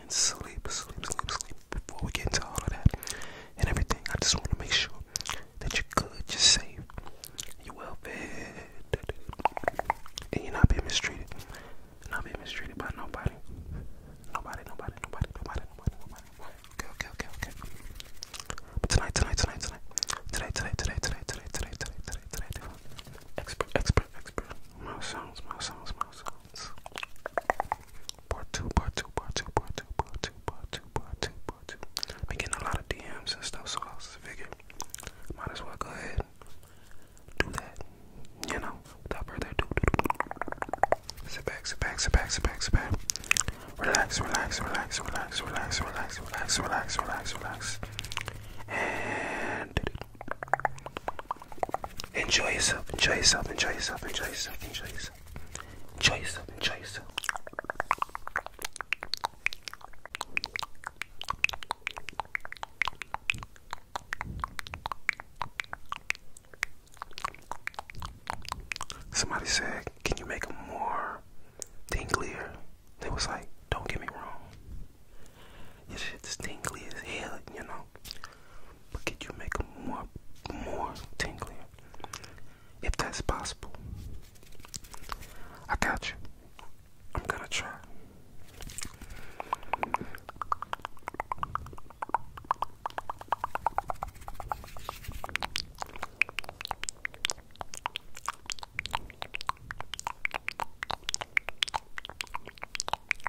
and sleep, sleep, sleep, sleep before we get into all of that and everything. I just want to make sure that you're good, you're safe, you're well fed, and you're not being mistreated. Not being mistreated by nobody. Nobody, nobody, nobody, nobody, nobody, nobody. Okay, okay, okay, okay. But tonight, tonight, tonight, tonight. Today, today, today, today, today, today, today, today, today. Expert, expert, expert. Mouse sounds, mouse sounds, mouse sounds. Part two, part two, part two, part two, part two, part two, part two, part two. I've been getting a lot of DMs and stuff, so I was figuring might as well go ahead do that. You know, without further ado. Sit back, sit back, sit back, sit back, sit back. Relax, relax, relax, relax, relax, relax, relax, relax, relax, relax. And Enjoy yourself, enjoy yourself, enjoy yourself, enjoy yourself, enjoy yourself. Enjoy yourself, enjoy yourself. Somebody said, Can you make them more dinglier? They was like, Don't get me wrong. Your shit's tingly as hell, you know. But could you make it more, more tingly, if that's possible? I got you. I'm gonna try.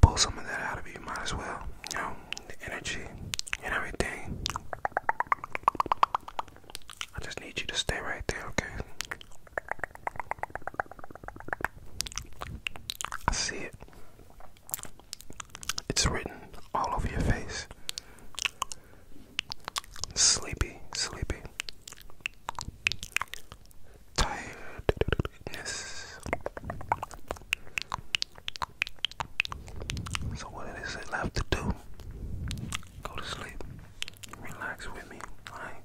pull some of that out of you, might as well. You the energy and everything. I just need you to stay right there, okay? I see it. It's written all over your face. Sleepy, sleepy. Tiredness. So, what it is it left to do? Go to sleep. Relax with me, alright?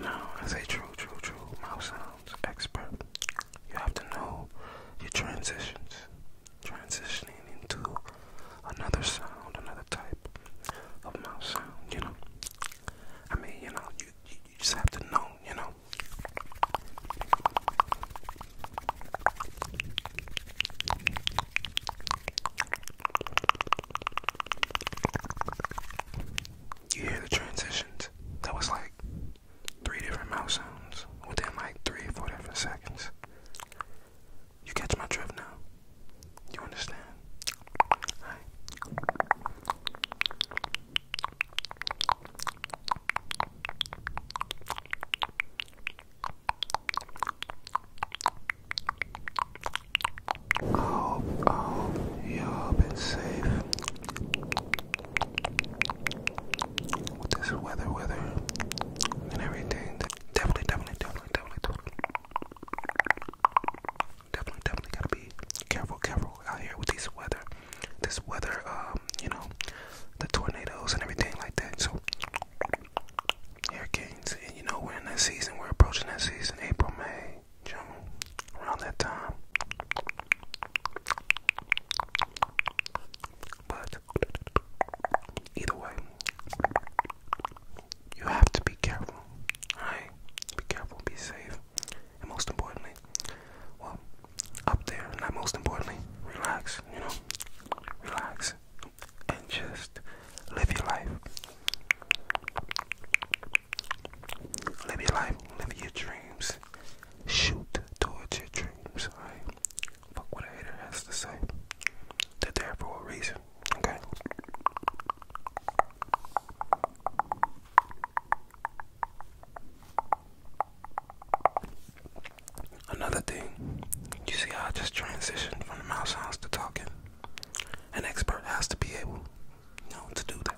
No, as a true, true, true mouth sounds expert, you have to know your transitions. Transitioning into another sound, another type of mouth sound, you know. I mean, you know, you you, just have to know, you know. You hear the transitions? That was like three different mouse sounds within like three or four different seconds. You catch my drift now. You understand? Right. I hope, y'all been safe with this weather, weather, and everything. definitely, definitely, definitely, definitely definitely, definitely gotta be careful, careful out here with this weather, this weather, um, you know, the tornadoes and everything like that. So, hurricanes, and you know, we're in that season, we're approaching that season, April, May, June, around that time. But either way, you have to be careful. Alright? Be careful, be safe. And most importantly, well, up there, not most importantly, relax, you know? Relax. And just live your life. Live your life, live your dreams. Shoot towards your dreams, alright? Fuck what a hater has to say. They're there for a reason. Another thing, you see I just transitioned from the mouth sounds to talking? An expert has to be able, to do that.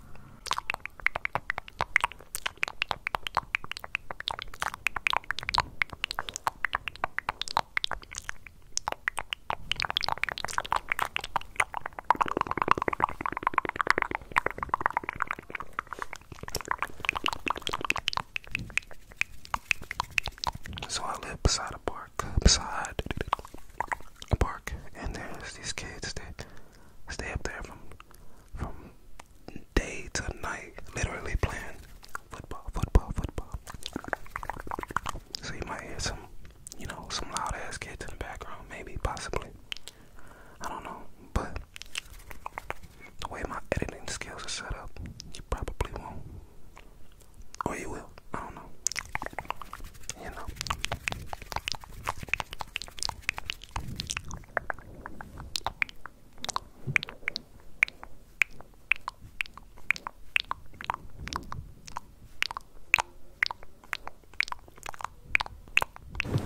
So I live beside a park, beside a park, and there's these kids that stay up there from from day to night, literally playing football, football, football. So you might hear some you know, some loud ass kids in the background, maybe, possibly. I don't know, but the way my editing skills are set up, you probably won't. Or you will, I don't know. You know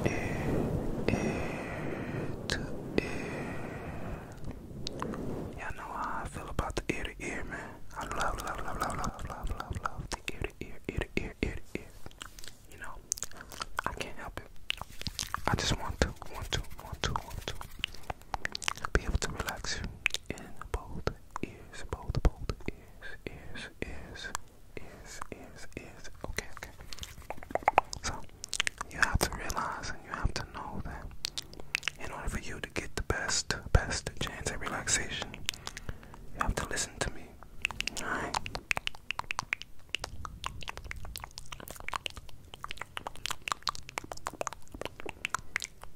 ear to ear. Y'all know how I feel about the ear to ear, man. I love, love, love, love, love, love, love, love the ear to ear, ear to ear, ear to ear. You know, I can't help it. I just want to, want to, want to, want to be able to relax you in both ears, both, both ears, ears, ears, ears, ears, ears. Okay, okay. So you have to realize and you have to know that in order for you to get the best, best chance at relaxation, you have to listen to me. Alright.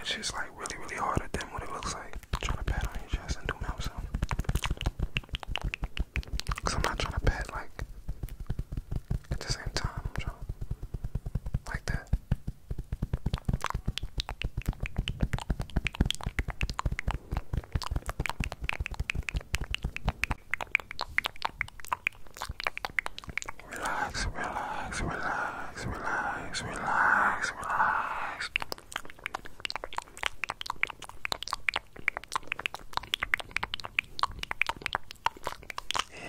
It's just like really, really harder than what it looks like. Try to pat on your chest and do mouth sound. Cause I'm not trying to pet like at the same time. like that. Relax, relax, relax, relax, relax, relax.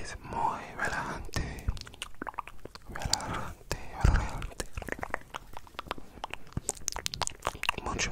Es muy relajante, relajante, relajante. Mucho,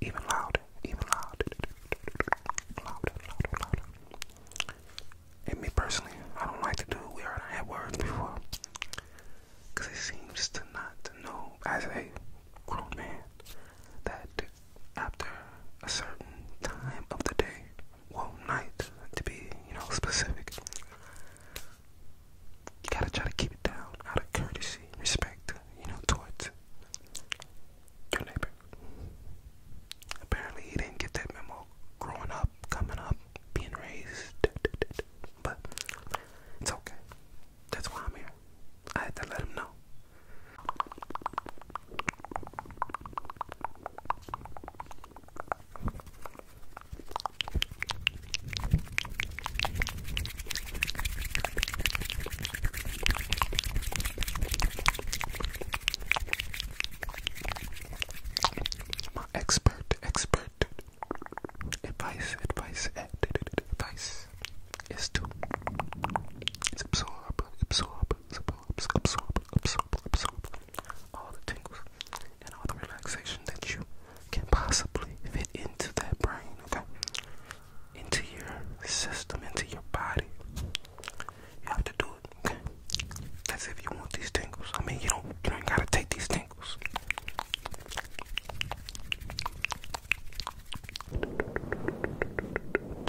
Even loud, even loud, Louder, louder, louder. And me personally, I don't like to do it. We already had words before. Because it seems to not know, as a grown man, that after a certain time of the day, well, night, to be, you know, specific, you gotta try to keep it down out of courtesy, respect, you know, towards your neighbor. Apparently, he didn't get that memo growing up, coming up, being raised. But it's okay. That's why I'm here. I had to let him know. My expert, expert advice, advice, advice is to absorb, absorb, absorb, absorb, absorb, absorb all the tingles and all the relaxation that you can possibly fit into that brain, okay? into your system, into your body. You have to do it, okay? That's if you want these tingles. I mean, you don't, gotta take these tingles.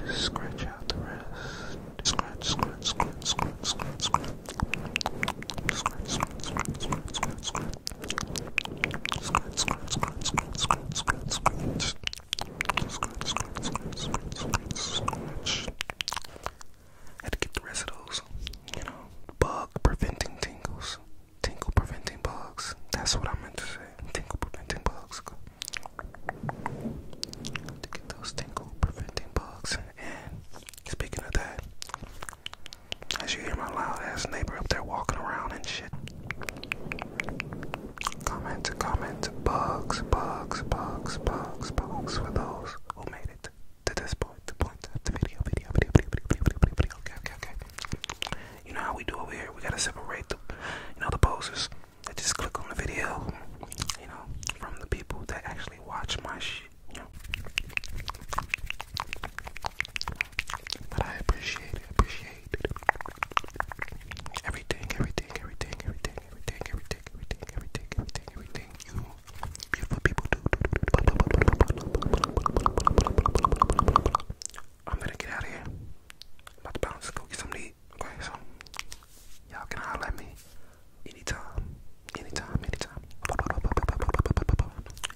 Just out the rest. Scratch, scratch, scratch, scratch, scratch, scratch. Scratch, scratch, scratch, scratch, scratch, Scratch, scratch, scratch, scratch, scratch, scratch, scratch. Scratch, scratch, scratch, scratch, scratch, scratch. Had to get the rest of those, you know, bug preventing tingles. Tingle preventing bugs. That's what I meant to say. Tingle preventing bugs. To get those tingle preventing bugs. And speaking of that, as you hear my loud ass neighbor up there walking around and shit. Comment, comment, bugs, bugs, bugs, bugs, bugs for those who made it to this point, video, video, video, video, video, video, video, Okay, okay, okay. You know how we do over here? We gotta separate the, you know, the posers that just click on the video, you know, from the people that actually watch my shit, but I appreciate appreciate Everything, everything, everything, everything, everything, everything, everything, everything, everything, you beautiful people do. I'm gonna get out of here. I'm about to bounce, go get some to eat. Okay, so y'all can holler at me anytime, anytime, anytime.